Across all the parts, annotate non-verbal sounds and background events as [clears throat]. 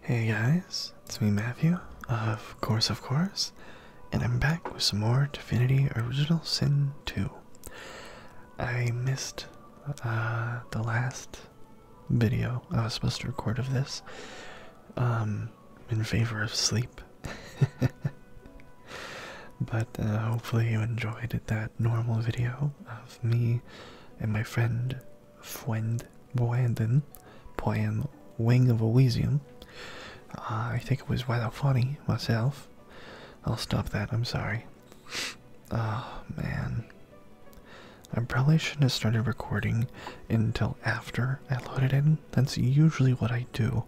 Hey guys, it's me Matthew, of course, of course, and I'm back with some more Divinity Original Sin 2. I missed uh, the last video I was supposed to record of this um, in favor of sleep. [laughs] but uh, hopefully you enjoyed that normal video of me and my friend Friend, Boandon playing Wing of a Uh, I think it was rather funny myself. I'll stop that, I'm sorry. Oh man. I probably shouldn't have started recording until after I loaded in. That's usually what I do.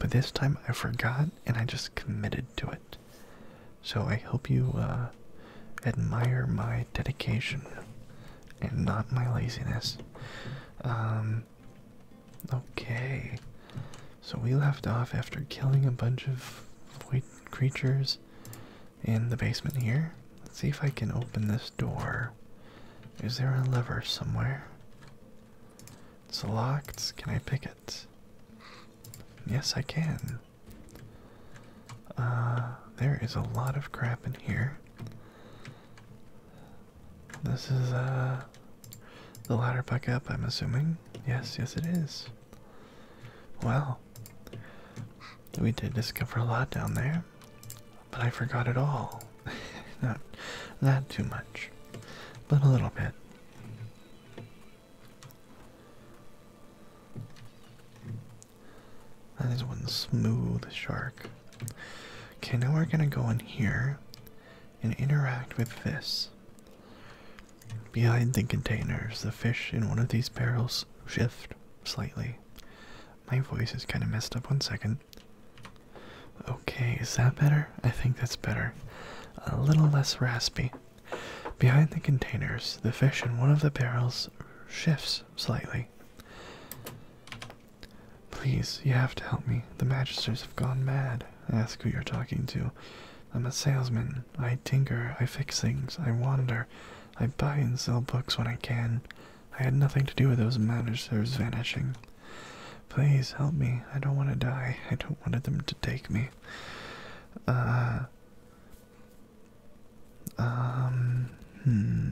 But this time I forgot and I just committed to it. So I hope you uh, admire my dedication and not my laziness. Um, okay, so we left off after killing a bunch of void creatures in the basement here. Let's see if I can open this door. Is there a lever somewhere? It's locked. Can I pick it? Yes, I can. Uh, there is a lot of crap in here. This is uh, the ladder back up, I'm assuming. Yes, yes, it is. Well, we did discover a lot down there, but I forgot it all. [laughs] not, that too much, but a little bit. That is one smooth shark. Okay, now we're gonna go in here and interact with this. Behind the containers, the fish in one of these barrels shift slightly. My voice is kind of messed up. One second. Okay, is that better? I think that's better. A little less raspy. Behind the containers, the fish in one of the barrels shifts slightly. Please, you have to help me. The magisters have gone mad. Ask who you're talking to. I'm a salesman. I tinker. I fix things. I wander. I buy and sell books when I can. I had nothing to do with those magisters vanishing. Please help me. I don't want to die. I don't want them to take me. Uh. Um, hmm.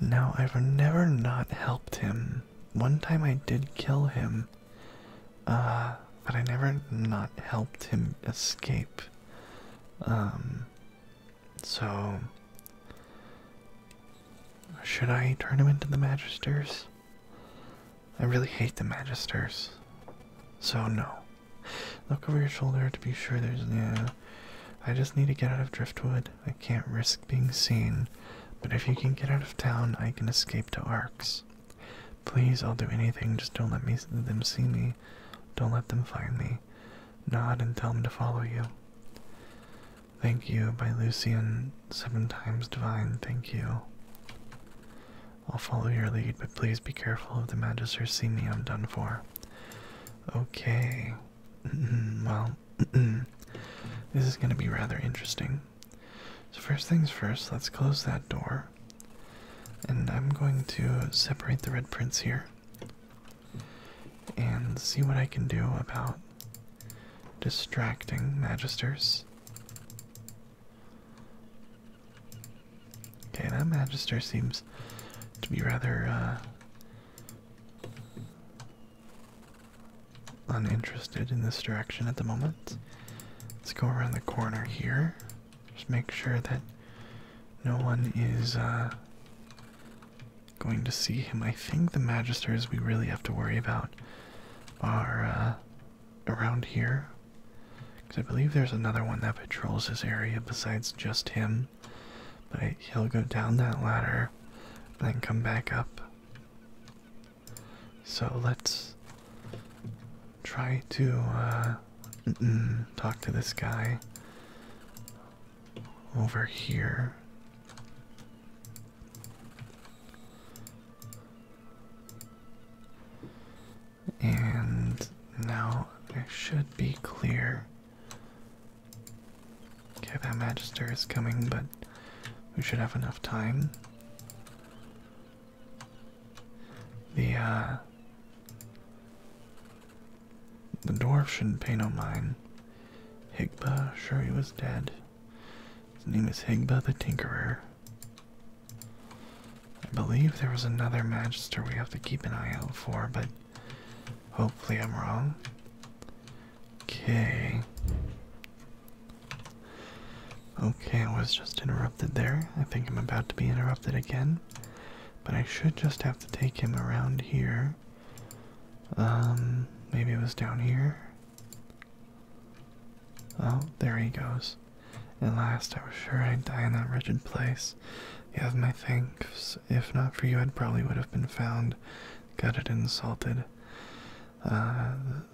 Now, I've never not helped him. One time I did kill him, uh, but I never not helped him escape. Um, so. Should I turn him into the Magisters? I really hate the Magisters. So, no. Look over your shoulder to be sure there's. Yeah. I just need to get out of Driftwood. I can't risk being seen. But if you can get out of town, I can escape to Arks. Please, I'll do anything. Just don't let me them see me. Don't let them find me. Nod and tell them to follow you. Thank you by Lucian, seven times divine. Thank you. I'll follow your lead, but please be careful. If the magisters see me, I'm done for. Okay. [clears throat] well, [clears throat] this is going to be rather interesting. So, first things first, let's close that door. And I'm going to separate the red prints here and see what I can do about distracting magisters. Okay, that Magister seems to be rather uh, uninterested in this direction at the moment. Let's go around the corner here. Just make sure that no one is uh, going to see him. I think the Magisters we really have to worry about are uh, around here? I believe there's another one that patrols this area besides just him. But he'll go down that ladder then come back up. So let's try to uh, talk to this guy over here. And now it should be clear. Okay, that Magister is coming, but we should have enough time. The, uh, The dwarf shouldn't pay no mind. Higba, sure he was dead. His name is Higba the Tinkerer. I believe there is another Magister we have to keep an eye out for, but hopefully I'm wrong. Okay. Okay, I was just interrupted there. I think I'm about to be interrupted again. But I should just have to take him around here. Um, maybe it was down here. Oh, there he goes. At last, I was sure I'd die in that wretched place. You have my thanks. If not for you, I probably would have been found, gutted, and insulted. Uh,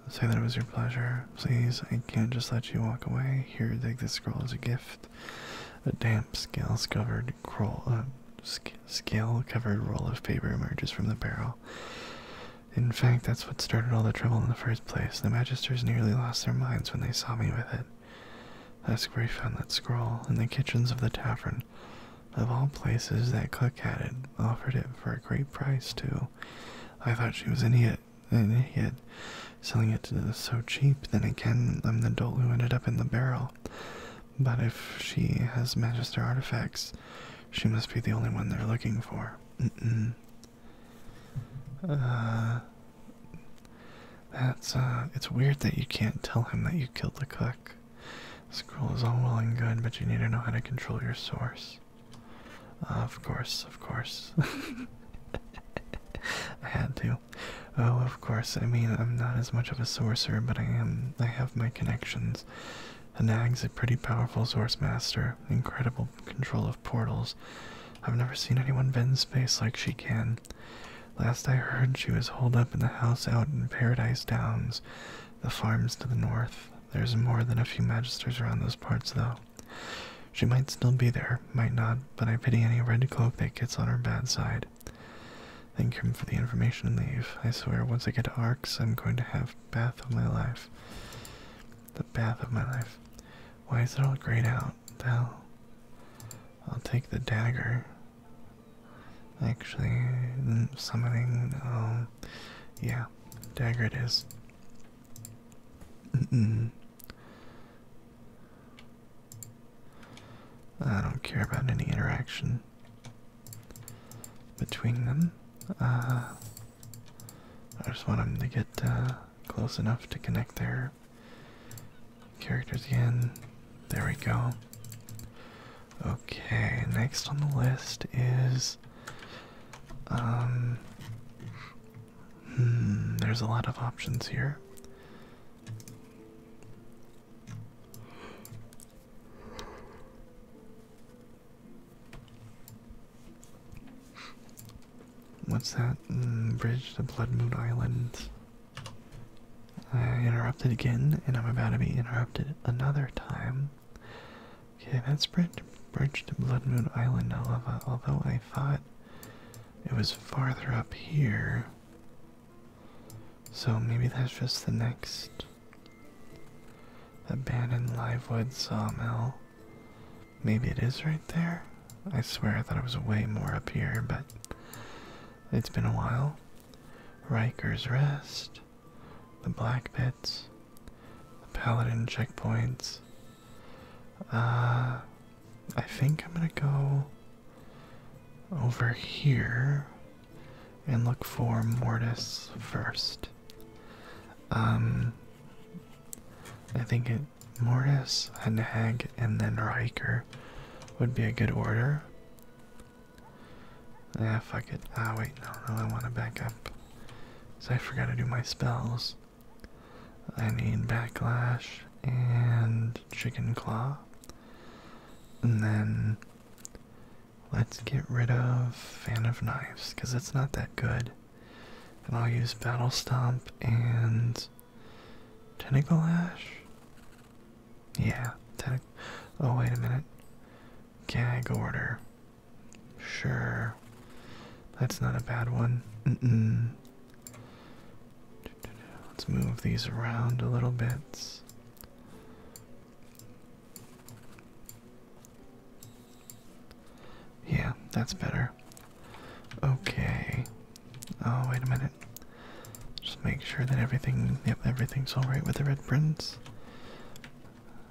say that it was your pleasure. Please, I can't just let you walk away. Here, take this scroll as a gift. A damp, scale-covered uh, scale-covered roll of paper emerges from the barrel. In fact, that's what started all the trouble in the first place. The magisters nearly lost their minds when they saw me with it. That's where he found that scroll, in the kitchens of the tavern. Of all places, that cook had it, offered it for a great price, too. I thought she was an idiot, an idiot, selling it so cheap. Then again, I'm the dolt who ended up in the barrel. But if she has Magister artifacts, she must be the only one they're looking for. [sighs] that's uh, it's weird that you can't tell him that you killed the cook. School is all well and good, but you need to know how to control your source. of course, of course. [laughs] I had to. Oh, of course. I mean, I'm not as much of a sorcerer, but I am. I have my connections. Hanag's a pretty powerful source master. Incredible control of portals. I've never seen anyone bend space like she can. Last I heard, she was holed up in the house out in Paradise Downs, the farms to the north. There's more than a few magisters around those parts, though. She might still be there, might not, but I pity any red cloak that gets on her bad side. Thank him for the information and leave. I swear, once I get to Arx, I'm going to have bath of my life the path of my life. Why is it all grayed out? The I'll take the dagger. Actually, mm, summoning. Um, yeah, dagger it is. I don't care about any interaction between them. Uh, I just want them to get uh, close enough to connect their characters again. There we go. Okay, next on the list is. Um. Hmm, there's a lot of options here. What's that? Mm, bridge to Blood Moon Island. I interrupted again, and I'm about to be interrupted another time. Okay, that's bridge, to Blood Moon Island, however, although I thought it was farther up here. So maybe that's just the next abandoned livewood sawmill. Maybe it is right there. I swear I thought it was way more up here, but it's been a while. Riker's Rest, the Black Pits, the Paladin checkpoints. Uh, I think I'm gonna go over here and look for Mortis first. Um, I think it Mortis, a hag, and then Riker would be a good order. Yeah, fuck it. Ah, wait, no, no, I want to back up. So I forgot to do my spells. I need Backlash and Chicken Claw. And then let's get rid of Fan of knives, 'cause it's not that good. And I'll use Battle Stomp and Tentacle Ash. Yeah. Oh, wait a minute. Gag Order. Sure. That's not a bad one. Let's move these around a little bit. Yeah, that's better. Okay. Oh, wait a minute. Just make sure that everything, yep, everything's alright with the red prints.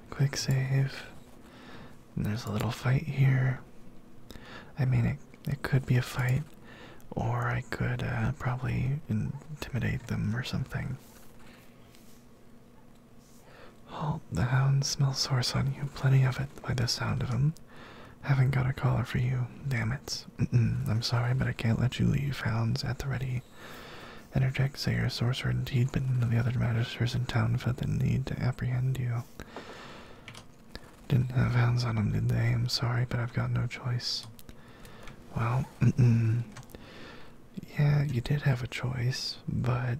Quick save. there's a little fight here. I mean, it, it could be a fight, or I could uh, probably intimidate them or something. Halt, the hounds smell source on you, plenty of it by the sound of 'em. Haven't got a collar for you, damn it. I'm sorry, but I can't let you leave. Hounds at the ready. Interject, Sayer, Sorcerer, indeed, but none of the other magisters in town felt the need to apprehend you. Didn't have hounds on them, did they? I'm sorry, but I've got no choice. Well, mm -mm. yeah, you did have a choice, but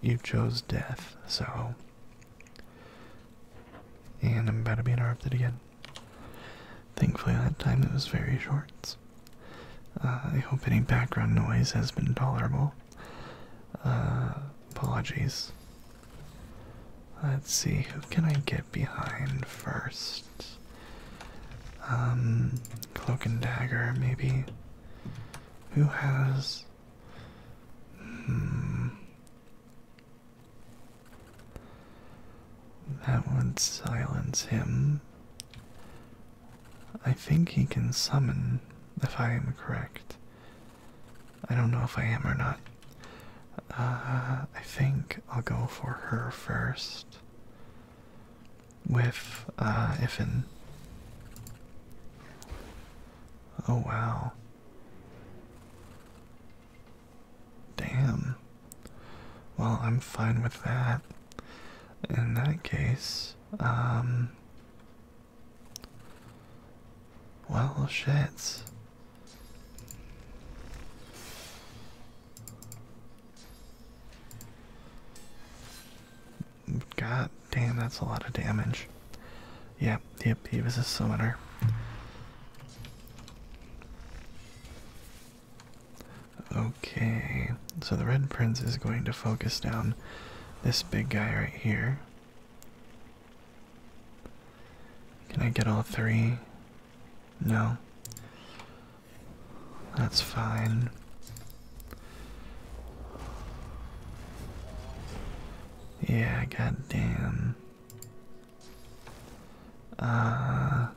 you chose death, so. And I'm about to be interrupted again. Thankfully, that time it was very short. Uh, I hope any background noise has been tolerable. Uh, apologies. Let's see, who can I get behind first? Um, cloak and Dagger, maybe. Who has Hmm. That would silence him. I think he can summon, if I am correct. I don't know if I am or not. Uh, I think I'll go for her first. With, if uh, Ifin. Oh wow. Damn. Well, I'm fine with that. In that case, um. Well, shit. God damn, that's a lot of damage. Yep, yep, he was a summoner. Okay, so the Red Prince is going to focus down this big guy right here. Can I get all three? No. That's fine. Yeah, goddamn. Uh,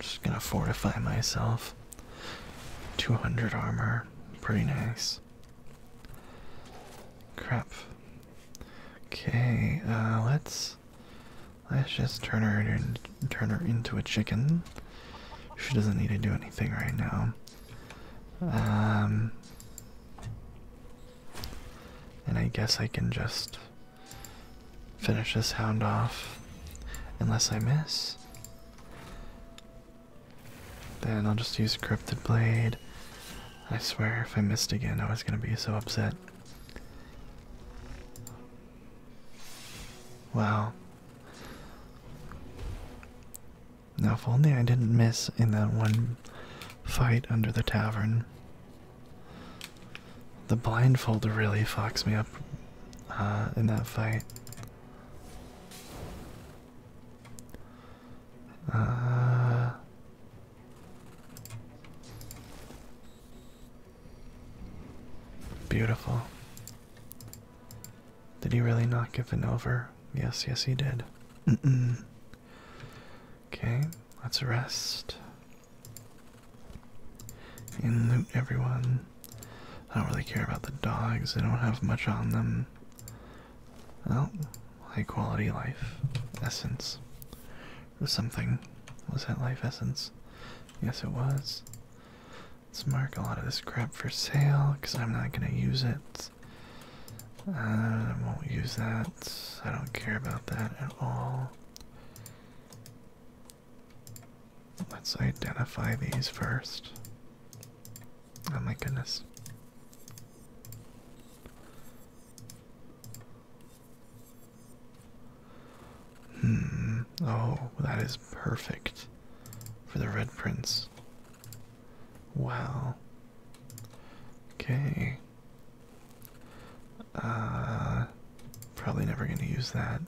just gonna fortify myself. 200 armor, pretty nice. Crap. Okay, uh, let's let's just turn her turn her into a chicken. She doesn't need to do anything right now. Um, and I guess I can just finish this hound off unless I miss. Then I'll just use a Cryptid Blade. I swear, if I missed again, I was gonna be so upset. Well. Now, if only I didn't miss in that one fight under the tavern. The blindfold really fucks me up uh, in that fight. Uh, beautiful. Did he really not give an over? Yes, yes, he did. Okay, let's rest. And loot everyone. I don't really care about the dogs, they don't have much on them. Well, high quality life. Essence. Was something. Was that life essence? Yes, it was. Let's mark a lot of this crap for sale because I'm not going to use it. I uh, won't use that. I don't care about that at all. Let's identify these first. Oh my goodness. Hmm. Oh, that is perfect for the Red Prince. Wow. Okay. Uh probably never gonna use that.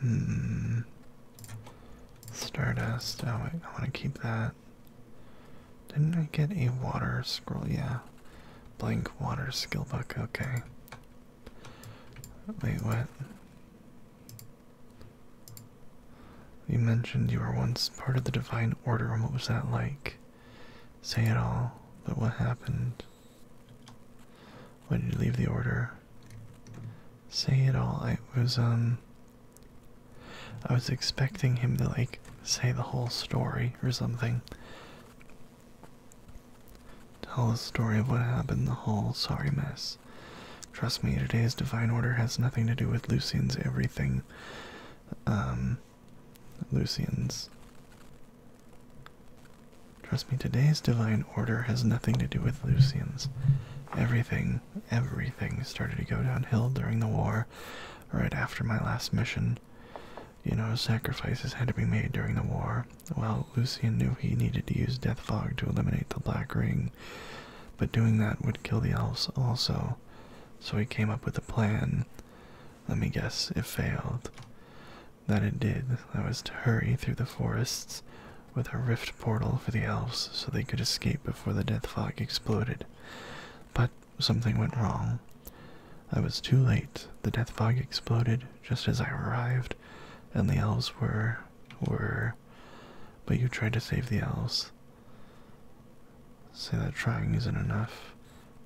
Hmm. Stardust. Oh I wanna keep that. Didn't I get a water scroll? Yeah. Blank water skill book, okay. Wait, what? You mentioned you were once part of the Divine Order, what was that like? Say it all, but what happened? When did you leave the Order? Say it all, I was, um... I was expecting him to, like, say the whole story or something. Tell the story of what happened in the hall, sorry mess. Trust me, today's divine order has nothing to do with Lucian's everything. Um, Lucian's. Trust me, today's divine order has nothing to do with Lucian's. Everything, everything started to go downhill during the war, right after my last mission. You know, sacrifices had to be made during the war. Well, Lucian knew he needed to use Death Fog to eliminate the Black Ring, but doing that would kill the elves also, so he came up with a plan. Let me guess, it failed. That it did. That was to hurry through the forests with a rift portal for the elves so they could escape before the Death Fog exploded. But something went wrong. I was too late. The Death Fog exploded just as I arrived, and the elves were were, but you tried to save the elves. Say that trying isn't enough,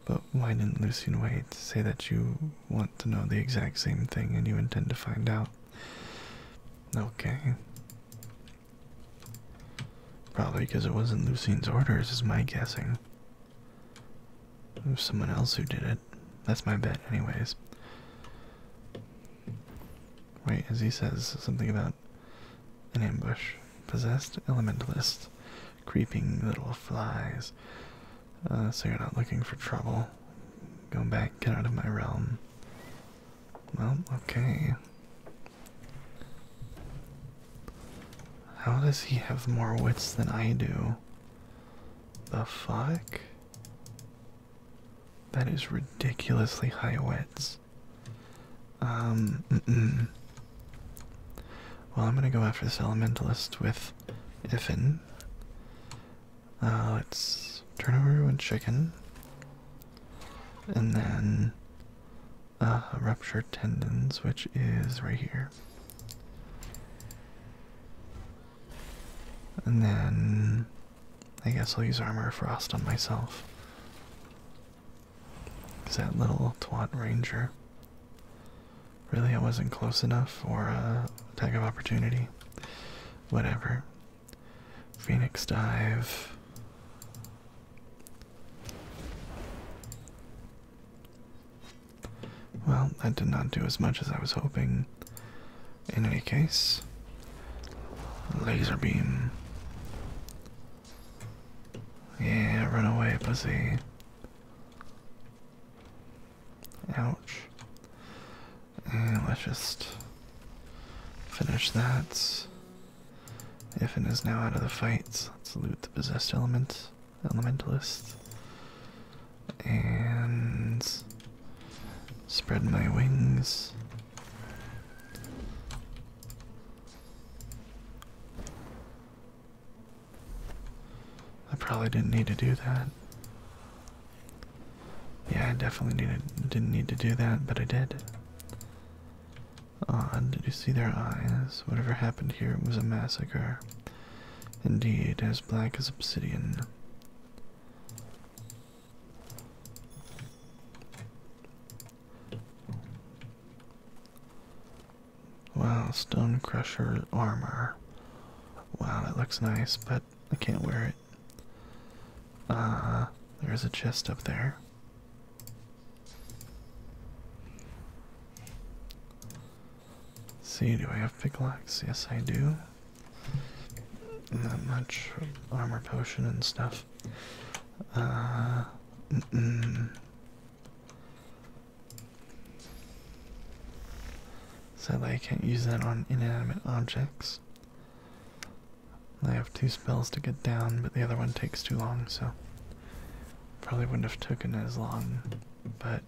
but why didn't Lucien wait? Say that you want to know the exact same thing and you intend to find out. Okay. Probably because it wasn't Lucien's orders, is my guessing. It someone else who did it. That's my bet, anyways. Wait, as he says something about an ambush. Possessed elementalists, Creeping little flies. Uh, so you're not looking for trouble. Go back, get out of my realm. Well, okay. How does he have more wits than I do? The fuck? That is ridiculously high wets. Um, Well, I'm gonna go after this elementalist with Iffin. Uh, let's turn over one chicken. And then uh, ruptured tendons, which is right here. And then I guess I'll use Armor Frost on myself. Because that little twat ranger. Really, I wasn't close enough for a uh, attack of opportunity. Whatever. Phoenix dive. Well, that did not do as much as I was hoping. In any case, laser beam. Yeah, run away, pussy. Ouch. let's just finish that. Ifan is now out of the fight. Let's loot the possessed element, elementalist and spread my wings. I probably didn't need to do that. Yeah, I definitely didn't need to do that, but I did. Odd, did you see their eyes? Whatever happened here was a massacre. Indeed, as black as obsidian. Wow, Stone Crusher armor. Wow, that looks nice, but I can't wear it. Ah, there's a chest up there. see, do I have picklocks? Yes, I do not much armor potion and stuff. Uh, mm I can't use that on inanimate objects. I have two spells to get down, but the other one takes too long, so probably wouldn't have taken as long. But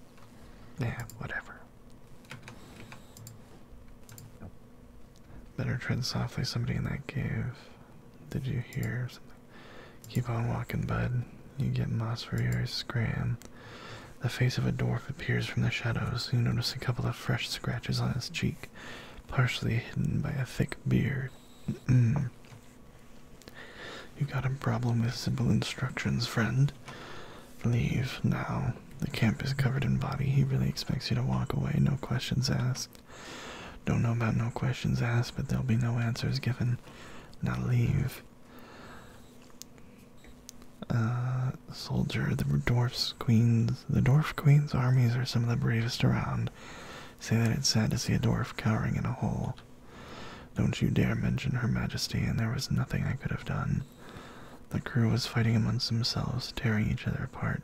yeah, whatever. Better tread softly, somebody in that cave. Did you hear something? Keep on walking, bud. You get moss for your scram. The face of a dwarf appears from the shadows. You notice a couple of fresh scratches on his cheek, partially hidden by a thick beard. you got a problem with simple instructions, friend. Leave now. The camp is covered in body. He really expects you to walk away, no questions asked. Don't know about no questions asked, but there'll be no answers given. Now leave. Ah, soldier, the dwarf's queens, the dwarf queen's armies are some of the bravest around. Say that it's sad to see a dwarf cowering in a hole. Don't you dare mention her majesty, and there was nothing I could have done. The crew was fighting amongst themselves, tearing each other apart.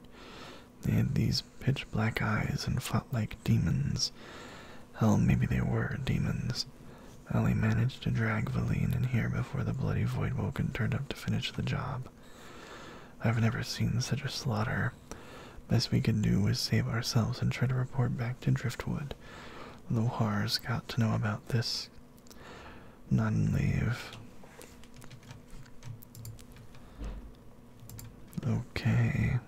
They had these pitch black eyes and fought like demons. Hell, maybe they were demons. Ellie managed to drag Valine in here before the bloody void woke and turned up to finish the job. I've never seen such a slaughter. Best we could do was save ourselves and try to report back to Driftwood. Lohar's got to know about this. None leave. Okay.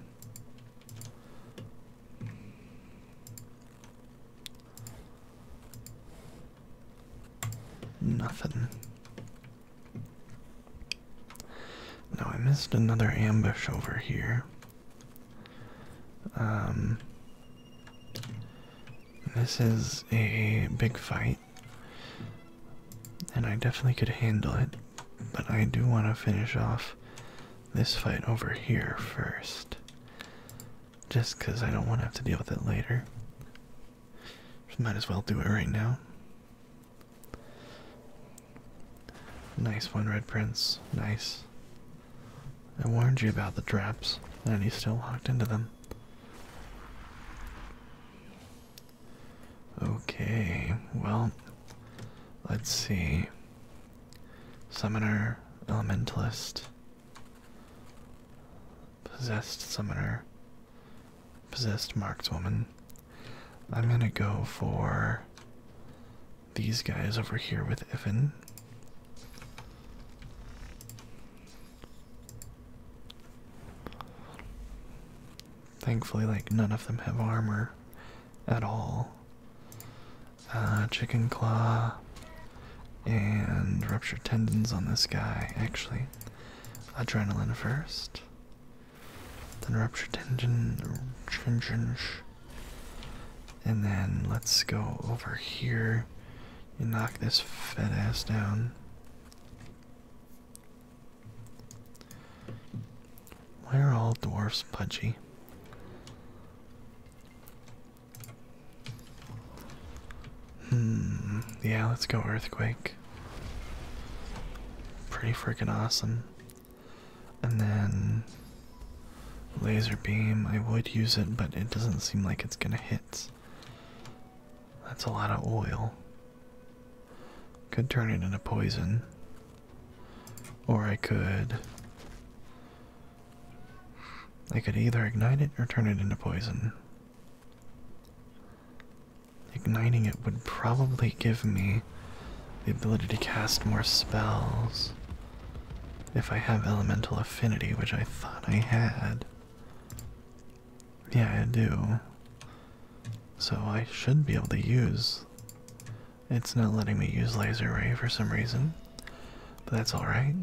Nothing. No, I missed another ambush over here. Um this is a big fight, and I definitely could handle it, but I do want to finish off this fight over here first. Just because I don't want to have to deal with it later. might as well do it right now. Nice one, Red Prince. Nice. I warned you about the traps, and he's still locked into them. Okay, well, let's see. Summoner, Elementalist, Possessed Summoner, Possessed Markswoman. I'm gonna go for these guys over here with Ivan. Thankfully, like, none of them have armor at all. Uh, chicken claw and ruptured tendons on this guy, actually. Adrenaline first. Then ruptured tendon, tendon, and then let's go over here you knock this fat ass down. Why are all dwarfs pudgy? Hmm, yeah, let's go earthquake. Pretty freaking awesome. And then laser beam, I would use it, but it doesn't seem like it's gonna hit. That's a lot of oil. Could turn it into poison. Or I could. I could either ignite it or turn it into poison. Igniting it would probably give me the ability to cast more spells if I have elemental affinity, which I thought I had. Yeah, I do. So I should be able to use. It's not letting me use laser ray for some reason, but that's alright.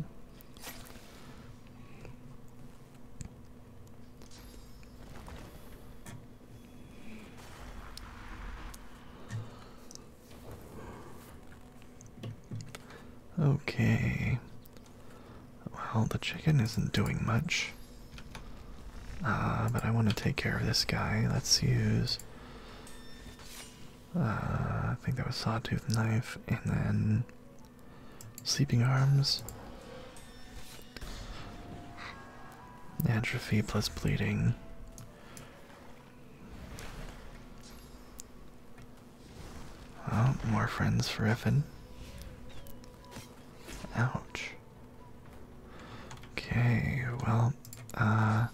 Okay, well, the chicken isn't doing much. Ah, but I want to take care of this guy. Let's use. Ah, I think that was sawtooth knife, and then sleeping arms. Atrophy plus bleeding. Oh, more friends for Effin. Ouch. Okay, well, uh.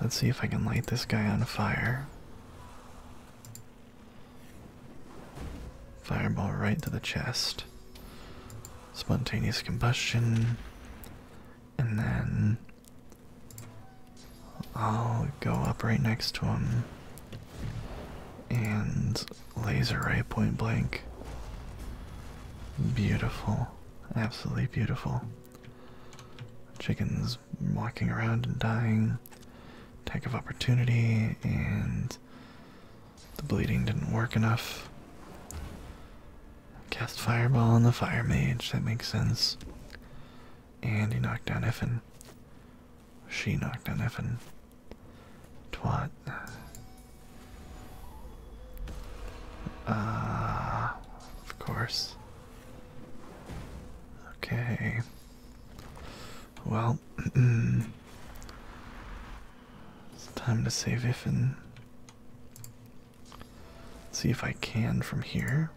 Let's see if I can light this guy on fire. Fireball right to the chest. Spontaneous combustion. And then I'll go up right next to him and laser right point blank. Beautiful. Absolutely beautiful. Chickens walking around and dying. Attack of opportunity, and the bleeding didn't work enough. Cast fireball on the fire mage, that makes sense. And he knocked down Effin. She knocked down Effin. Twat. Uh, of course. Okay. Well, [clears throat] it's time to save Iffin. See if I can from here.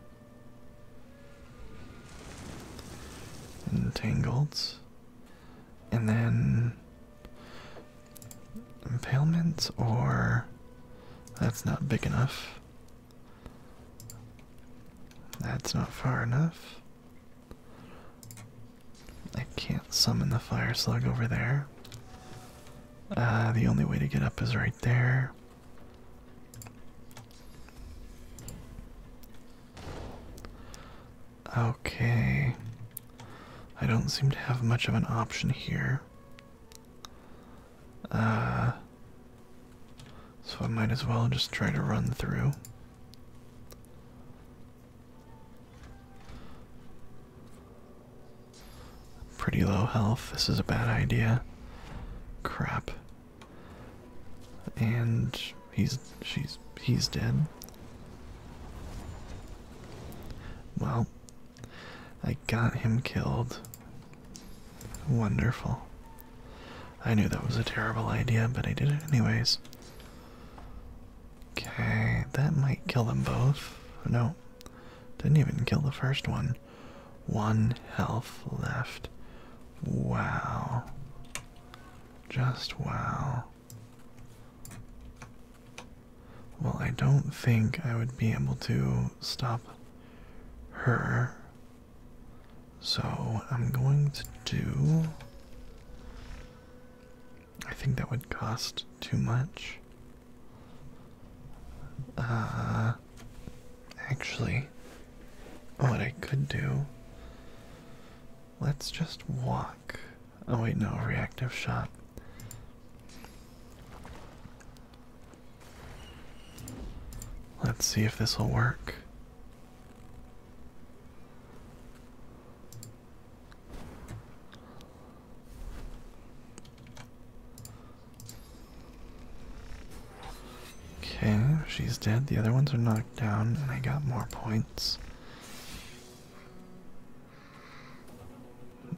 Entangled. And then impalement or that's not big enough. That's not far enough. I can't summon the fire slug over there. Uh, the only way to get up is right there. Okay. I don't seem to have much of an option here. Uh, so I might as well just try to run through. Pretty low health. This is a bad idea. Crap and he's she's he's dead. Well, I got him killed. Wonderful. I knew that was a terrible idea, but I did it anyways. Okay, that might kill them both. No, didn't even kill the first one. One health left. Wow. Just wow. Well, I don't think I would be able to stop her. So I'm going to do. I think that would cost too much. Uh, Actually, what I could do. Let's just walk. Oh, wait, no, reactive shot. Let's see if this will work. Okay, she's dead. The other ones are knocked down, and I got more points.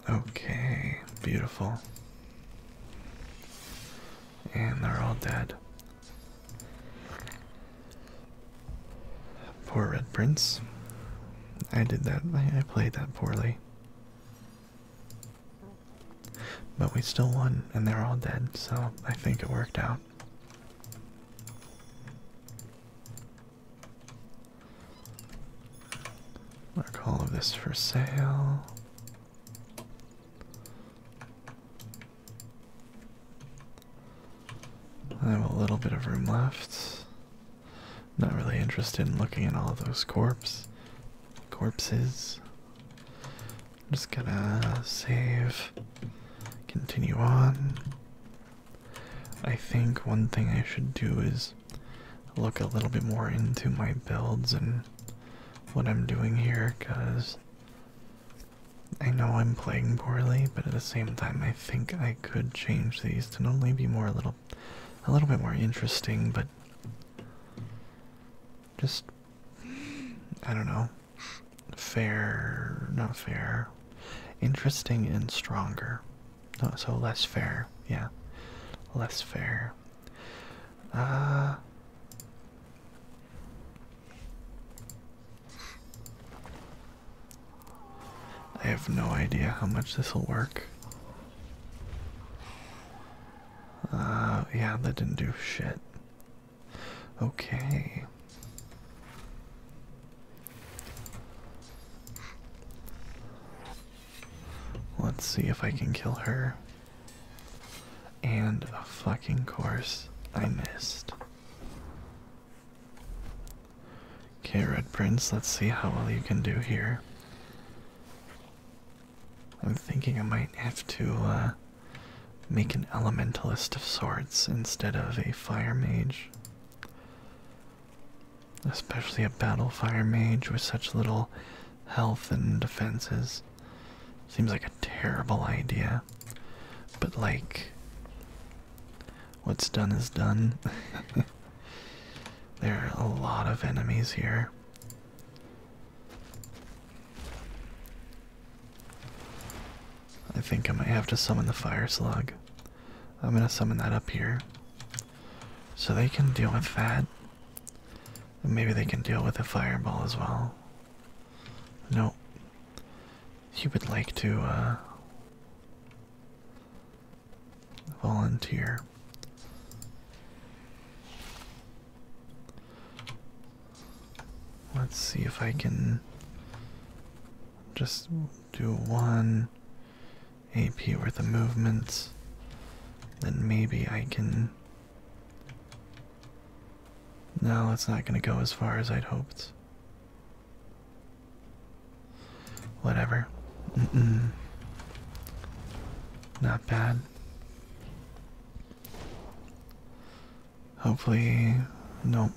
Okay, beautiful. And they're all dead. Poor Red Prince. I did that, I played that poorly. But we still won, and they're all dead, so I think it worked out. Mark all of this for sale. I have a little bit of room left. Not really interested in looking at all those corpse corpses. I'm just gonna save, continue on. I think one thing I should do is look a little bit more into my builds and what I'm doing here, because I know I'm playing poorly, but at the same time, I think I could change these to maybe be more a little, a little bit more interesting, but just I don't know. Fair, not fair. Interesting and stronger. No, so less fair. Yeah, less fair. Uh. I have no idea how much this will work. Uh, yeah, that didn't do shit. Okay. Let's see if I can kill her. And a fucking course, I missed. Okay, Red Prince, let's see how well you can do here. I'm thinking I might have to uh, make an elementalist of sorts instead of a fire mage. Especially a battle fire mage with such little health and defenses. Seems like a terrible idea. But, like, what's done is done. [laughs] there are a lot of enemies here. I think I might have to summon the fire slug. I'm gonna summon that up here. So they can deal with that. maybe they can deal with a fireball as well. No. He would like to uh, volunteer. Let's see if I can just do one AP worth of movement. Then maybe I can. No, it's not going to go as far as I'd hoped. Whatever. Not bad. Hopefully, no.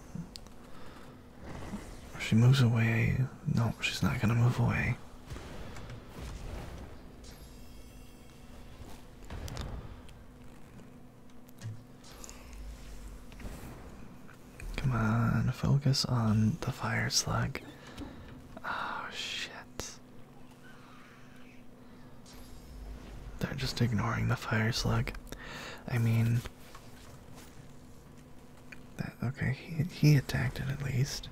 She moves away. No, she's not gonna move away. Come on, focus on the fire slug. Oh shit. They're just ignoring the fire slug. I mean, that, okay, he he attacked it at least.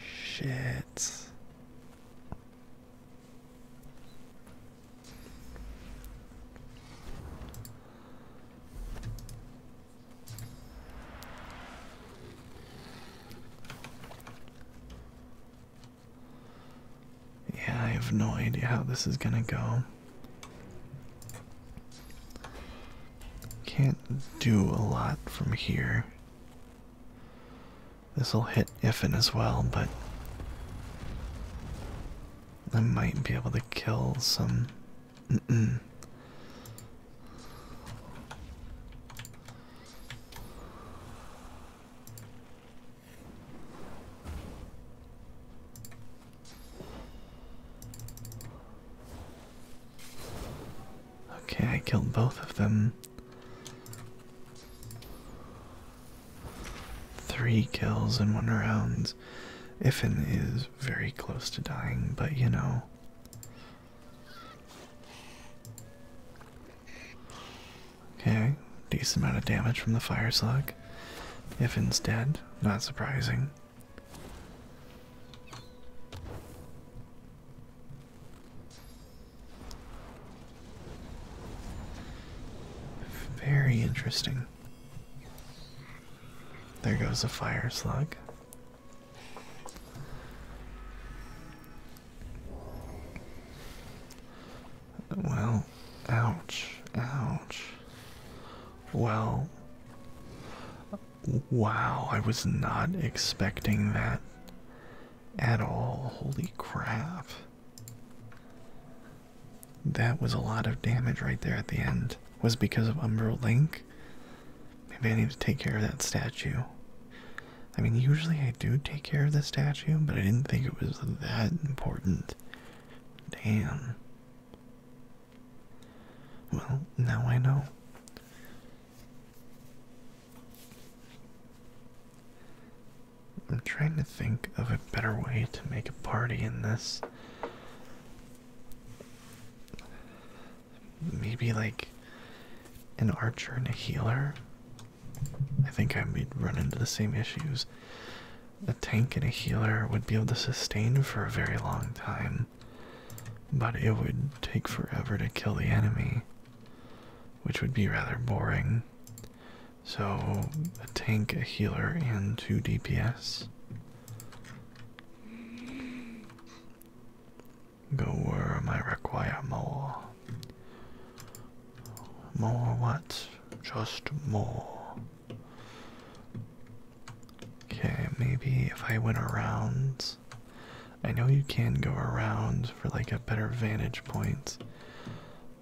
Shit. Yeah, I have no idea how this is gonna go. Can't do a lot from here. This'll hit Iffin as well, but I might be able to kill some. Okay, I killed both of them. Three kills in one round. Iffin is very close to dying, but you know, Okay, decent amount of damage from the fire slug. If instead, not surprising. Very interesting. There goes the fire slug. Well, ouch, ouch. Well, wow, I was not expecting that at all. Holy crap. That was a lot of damage right there at the end. Was because of Umbral Link? Maybe I need to take care of that statue. I mean, usually I do take care of the statue, but I didn't think it was that important. Damn. Well, now I know. I'm trying to think of a better way to make a party in this maybe like an archer and a healer. I think I would run into the same issues. A tank and a healer would be able to sustain for a very long time, but it would take forever to kill the enemy, which would be rather boring. So, a tank, a healer, and two DPS. Go where I require more. More what? Just more. Okay, maybe if I went around. I know you can go around for like a better vantage point.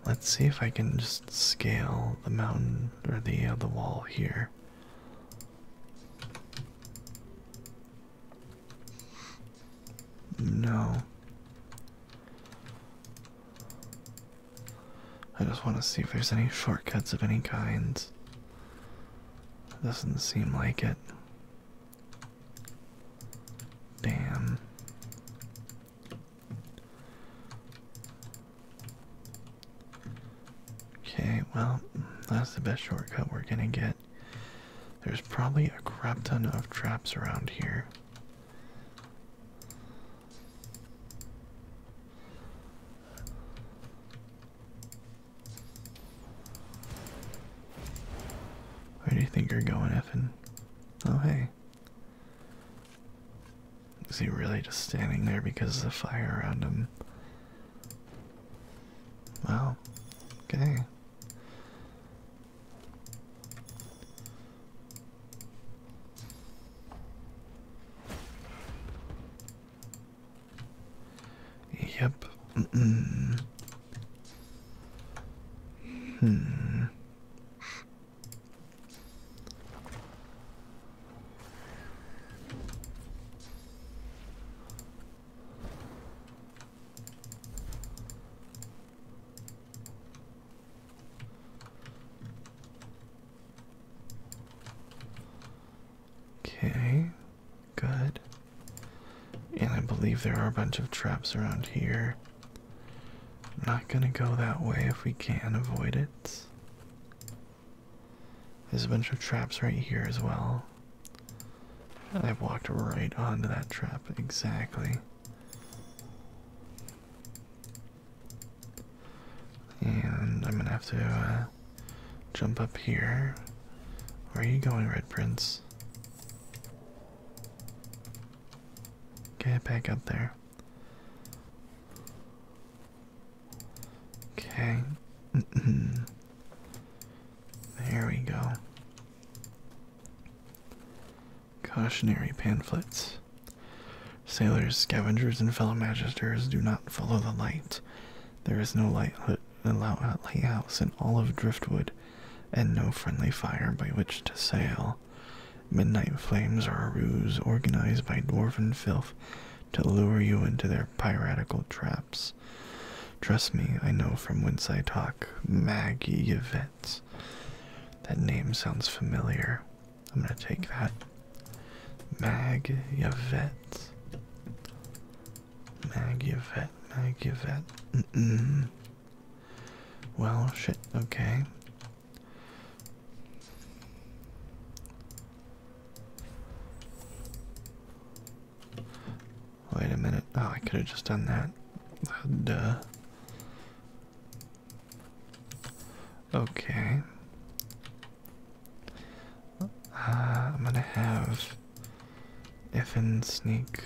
Let's see if I can just scale the mountain or the uh, the wall here. No. I just want to see if there's any shortcuts of any kind. Doesn't seem like it. Damn. Okay, well, that's the best shortcut we're gonna get. There's probably a crap ton of traps around here. Where do you think you're going, Evan? Oh, hey. Is he really just standing there because of the fire around him? Wow. Okay. Yep. Mm Hmm. Okay, good. And I believe there are a bunch of traps around here. not gonna go that way if we can avoid it. There's a bunch of traps right here as well. I walked right onto that trap, exactly. And I'm gonna have to uh, jump up here. Where are you going, Red Prince? Get back up there. Okay. Mm-hmm. there we go. Cautionary pamphlets. Sailors, scavengers, and fellow magisters do not follow the light. There is no light lighthouse in all of Driftwood, and no friendly fire by which to sail. Midnight flames are a ruse organized by dwarven filth to lure you into their piratical traps. Trust me, I know from whence I talk. Maggie Yvette. That name sounds familiar. I'm gonna take that. Maggie Yvette. Maggie Yvette, Mag Yvette. -mm. Well, shit, okay. Wait a minute. Oh, I could have just done that. Duh. Okay. Uh, I'm gonna have Ifin sneak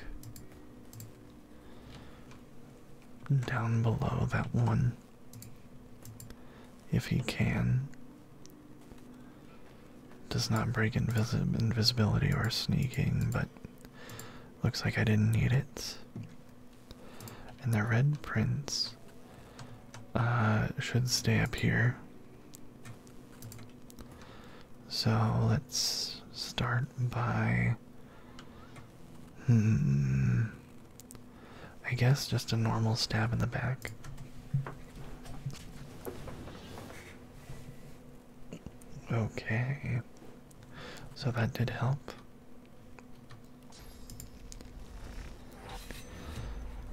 down below that one if he can. Does not break invisibility or sneaking, but Looks like I didn't need it. And the red prints uh, should stay up here. So let's start by. Hmm, I guess just a normal stab in the back. Okay. So that did help.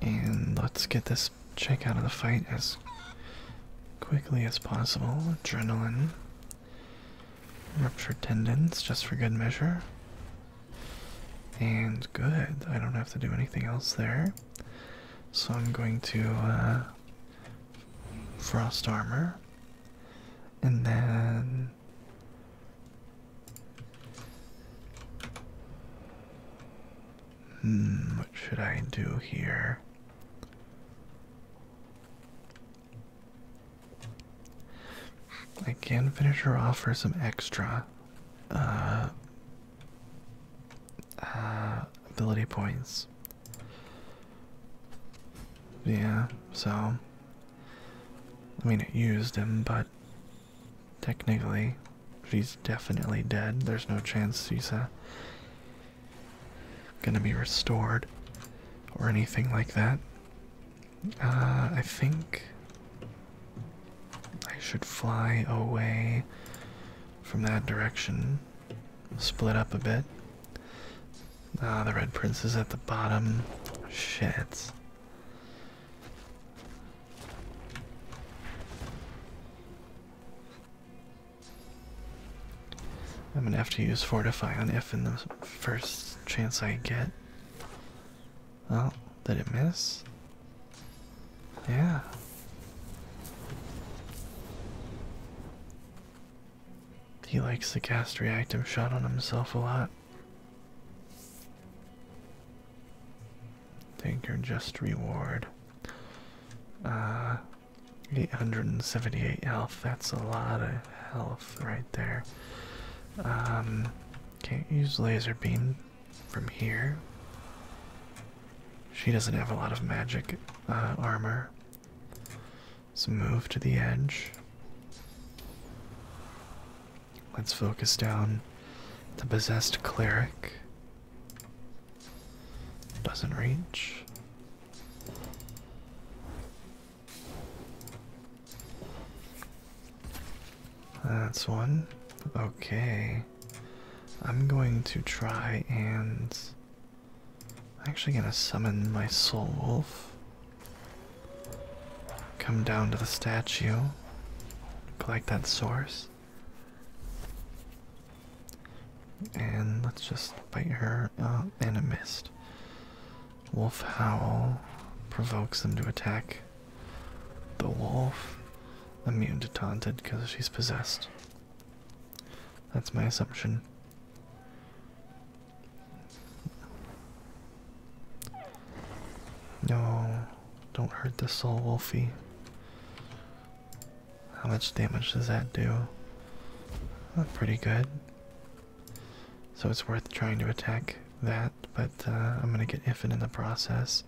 And let's get this chick out of the fight as quickly as possible. Adrenaline. Ruptured tendons, just for good measure. And good. I don't have to do anything else there. So I'm going to uh, frost armor, and then hmm, what should I do here? I can finish her off for some extra uh, uh ability points. Yeah, so. I mean, it used him, but technically, she's definitely dead. There's no chance she's uh, gonna be restored or anything like that. Uh, I think I should fly away from that direction split up a bit. Ah, the red prince is at the bottom. Shit. I'm gonna have to use fortify on if in the first chance I get. Oh, did it miss? Yeah. He likes the cast reactum shot on himself a lot. Take your just reward. Uh, 878 health. That's a lot of health right there. Um, can't use laser beam from here. She doesn't have a lot of magic uh, armor. So move to the edge. Let's focus down the possessed cleric. Doesn't reach. That's one. Okay. I'm going to try and I'm actually gonna summon my soul wolf. Come down to the statue. Collect that source. And let's just bite her. Uh, and a missed. Wolf howl provokes them to attack the wolf. Immune to taunted because she's possessed. That's my assumption. No, don't hurt the soul, Wolfie. How much damage does that do? pretty good. So it's worth trying to attack that, but uh, I'm gonna get Ifin in the process.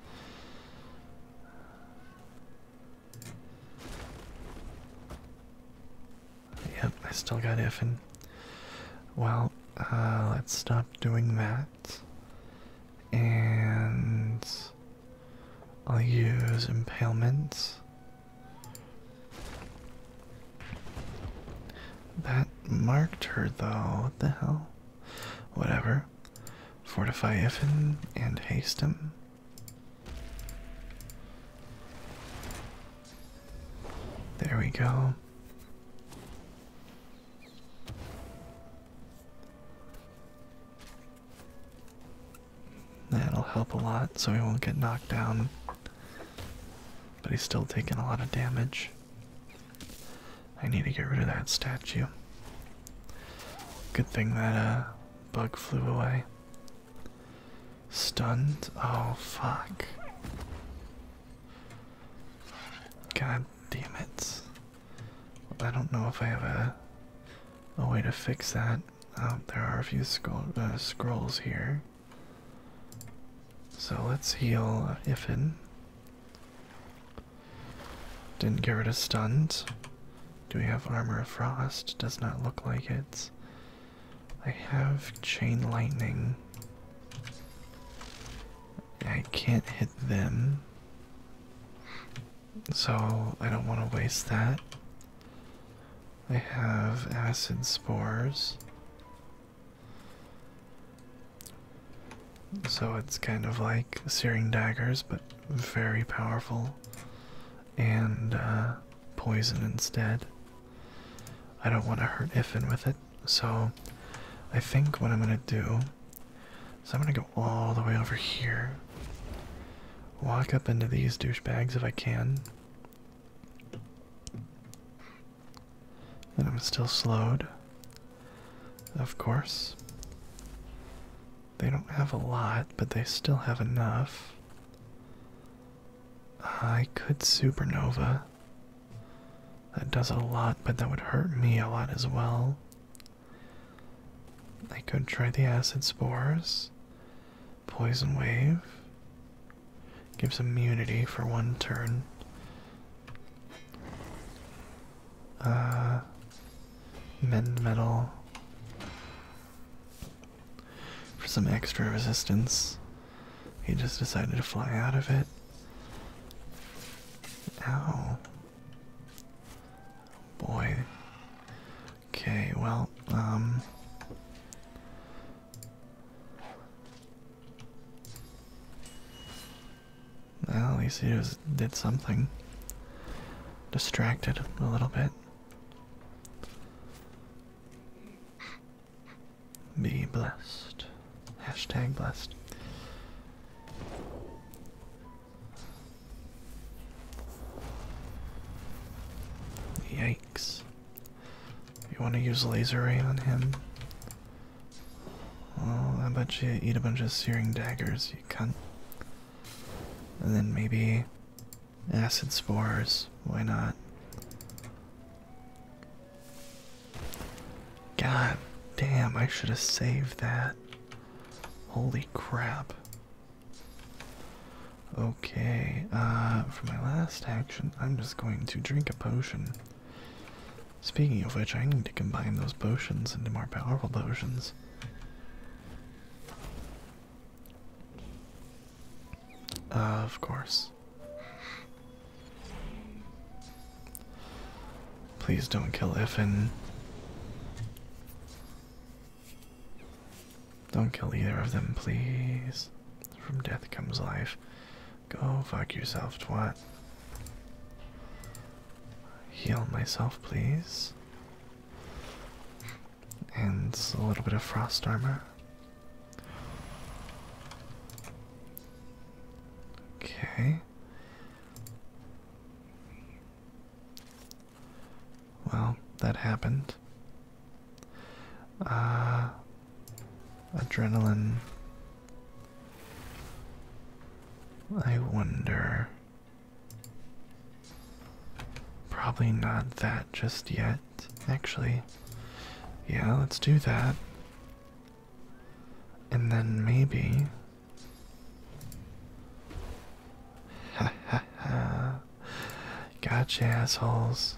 Yep, I still got Iffin. Well, uh, let's stop doing that. And I'll use impalements. That marked her though, what the hell? Whatever. Fortify Iffin and hasten. There we go. That'll help a lot so he won't get knocked down. But he's still taking a lot of damage. I need to get rid of that statue. Good thing that uh, bug flew away. Stunned? Oh, fuck. God damn it. I don't know if I have a, a way to fix that. Um, there are a few uh, scrolls here. So let's heal Ifin. Didn't get rid of stunned. Do we have armor of frost? Does not look like it. I have chain lightning. I can't hit them. So I don't want to waste that. I have acid spores. So it's kind of like searing daggers, but very powerful and uh, poison instead. I don't want to hurt Iffin with it, so I think what I'm going to do is I'm going to go all the way over here, walk up into these douchebags if I can. And I'm still slowed. Of course. They don't have a lot, but they still have enough. I could supernova. That does a lot, but that would hurt me a lot as well. I could try the acid spores. Poison wave. Gives immunity for one turn. Uh, mend metal for some extra resistance. He just decided to fly out of it. Ow. Boy. Okay, well, um, at least he did something. Distracted a little bit. Be blessed. Hashtag blessed. Yikes. You want to use laser ray on him? Well, I bet you eat a bunch of searing daggers, you cunt. And then maybe Acid spores, why not? God damn, I should have saved that. Holy crap. Okay, uh, for my last action, I'm just going to drink a potion. Speaking of which, I need to combine those potions into more powerful potions. Uh, of course. Please don't kill Iffin. Don't kill either of them, please. From death comes life. Go fuck yourself, twat. Heal myself, please. And a little bit of frost armor. Okay. Well, that happened. Uh, adrenaline. I wonder. Probably not that just yet actually. Yeah, let's do that. And then maybe. Ha ha ha. Gotcha, assholes.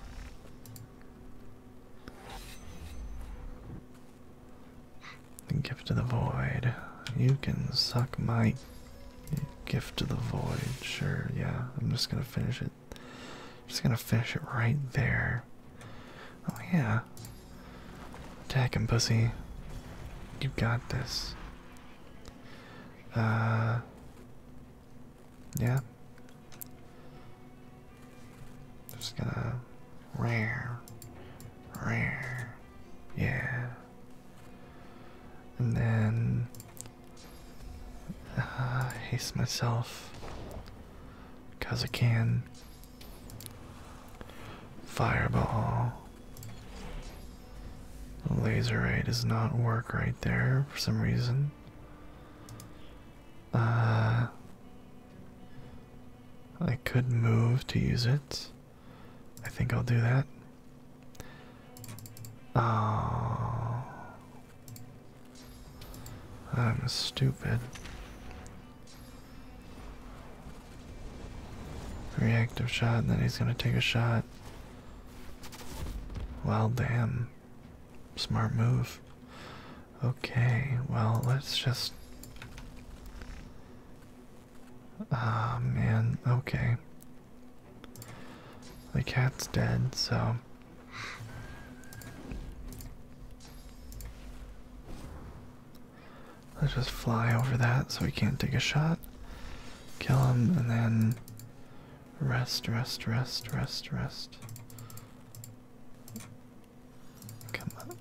Gift of the void. You can suck my gift of the void. Sure, yeah. I'm just gonna finish it just gonna finish it right there. Oh yeah. Attack him, pussy. You got this. Uh yeah. Just gonna rare. Rare. Yeah. And then uh, haste myself because I can. Fireball. laser ray does not work right there for some reason. Uh, I could move to use it. I think I'll do that. Oh, I'm stupid. Reactive shot, and then he's gonna take a shot. Well, damn. Smart move. Okay, well, let's just. Ah, oh, man, okay. The cat's dead, so. Let's just fly over that so we can't take a shot. Kill him and then rest, rest, rest, rest, rest. Come on.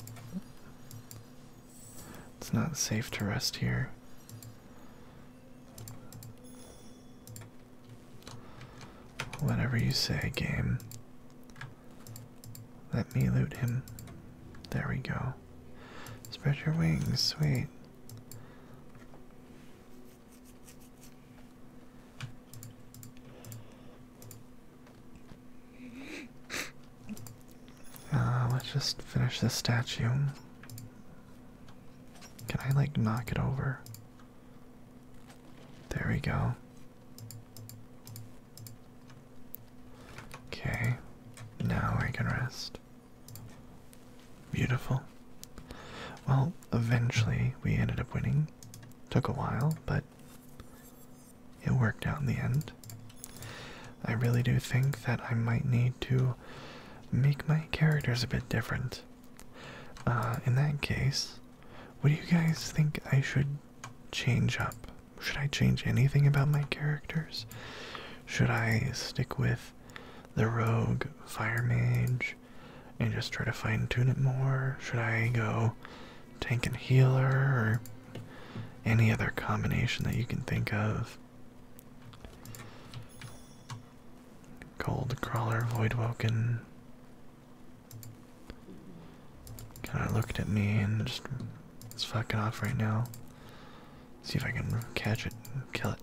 It's not safe to rest here. Whatever you say, game. Let me loot him. There we go. Spread your wings, sweet. Uh, let's just finish this statue. Can I, like, knock it over? There we go. Okay, now I can rest. Beautiful. Well, eventually we ended up winning. Took a while, but it worked out in the end. I really do think that I might need to make my characters a bit different. Uh, in that case, what do you guys think I should change up? Should I change anything about my characters? Should I stick with the rogue fire mage and just try to fine tune it more? Should I go tank and healer or any other combination that you can think of? Cold crawler, void Voidwoken kinda looked at me and just is fucking off right now. See if I can catch it kill it.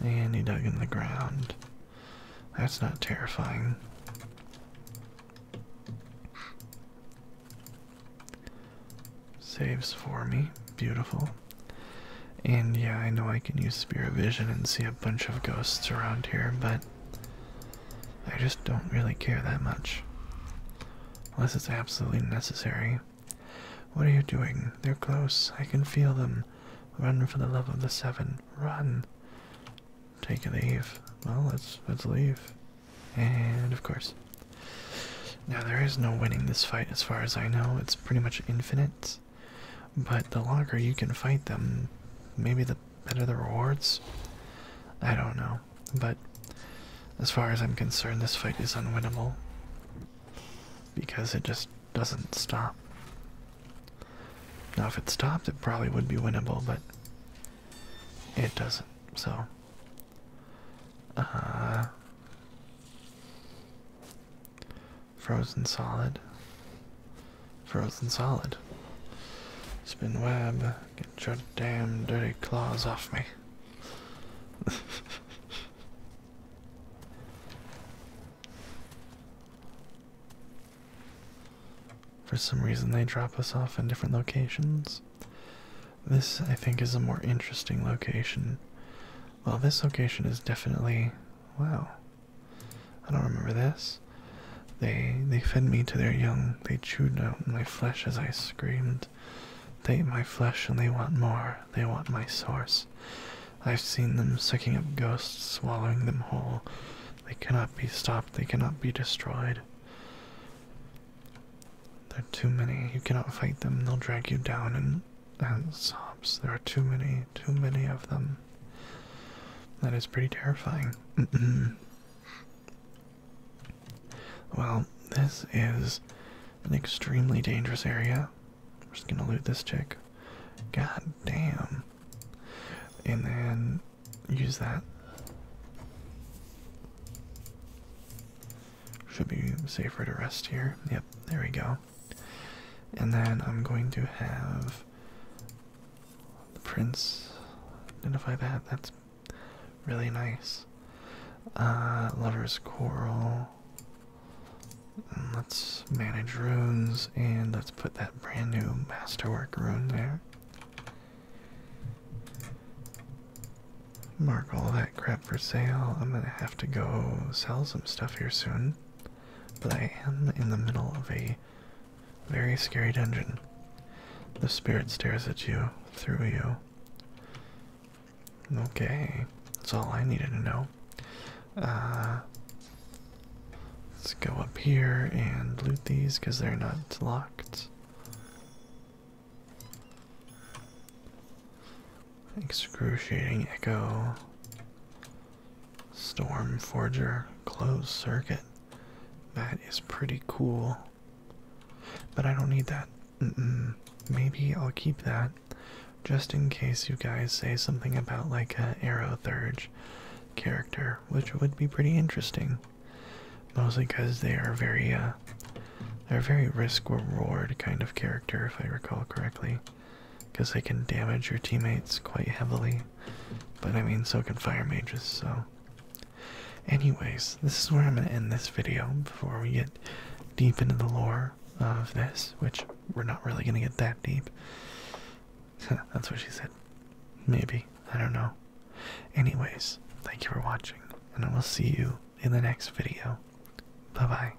And he dug in the ground. That's not terrifying. Saves for me. Beautiful. And yeah, I know I can use Spirit Vision and see a bunch of ghosts around here, but I just don't really care that much. Unless it's absolutely necessary. What are you doing? They're close. I can feel them. Run for the love of the seven. Run. Take a leave. Well, let's let's leave. And of course. Now there is no winning this fight as far as I know. It's pretty much infinite. But the longer you can fight them, maybe the better the rewards. I don't know. But as far as I'm concerned, this fight is unwinnable because it just doesn't stop. Now, if it stopped, it probably would be winnable, but it doesn't. So, uh, frozen solid, frozen solid. Spin web, get your damn dirty claws off me. [laughs] For some reason, they drop us off in different locations. This, I think, is a more interesting location. Well, this location is definitely Wow. I don't remember this. They they fed me to their young. They chewed out my flesh as I screamed. They eat my flesh and they want more. They want my source. I've seen them sucking up ghosts, swallowing them whole. They cannot be stopped. They cannot be destroyed. They're too many. You cannot fight them. They'll drag you down and and sobs. There are too many, too many of them. That is pretty terrifying. [clears throat] well, this is an extremely dangerous area. We're just gonna loot this chick. God damn. And then use that. Should be safer to rest here. Yep, there we go. And then I'm going to have the prints. Identify that. That's really nice. Uh, lover's Coral. Mm, let's manage runes and let's put that brand new masterwork rune there. Mark all that crap for sale. I'm gonna have to go sell some stuff here soon but I am in the middle of a very scary dungeon. The spirit stares at you through you. Okay, that's all I needed to know. Uh, let's go up here and loot these because they're not locked. Excruciating Echo. Storm Forger. Closed Circuit. That is pretty cool. But I don't need that. Mm -mm. Maybe I'll keep that just in case you guys say something about like a Arrow Thurge character, which would be pretty interesting. Mostly because they are very, uh, they're very risk reward kind of character, if I recall correctly because they can damage your teammates quite heavily. But I mean, so can fire mages, so. Anyways, this is where I'm gonna end this video before we get deep into the lore of this, which we're not really gonna get that deep. [laughs] That's what she said. Maybe. I don't know. Anyways, thank you for watching, and I will see you in the next video. Bye bye.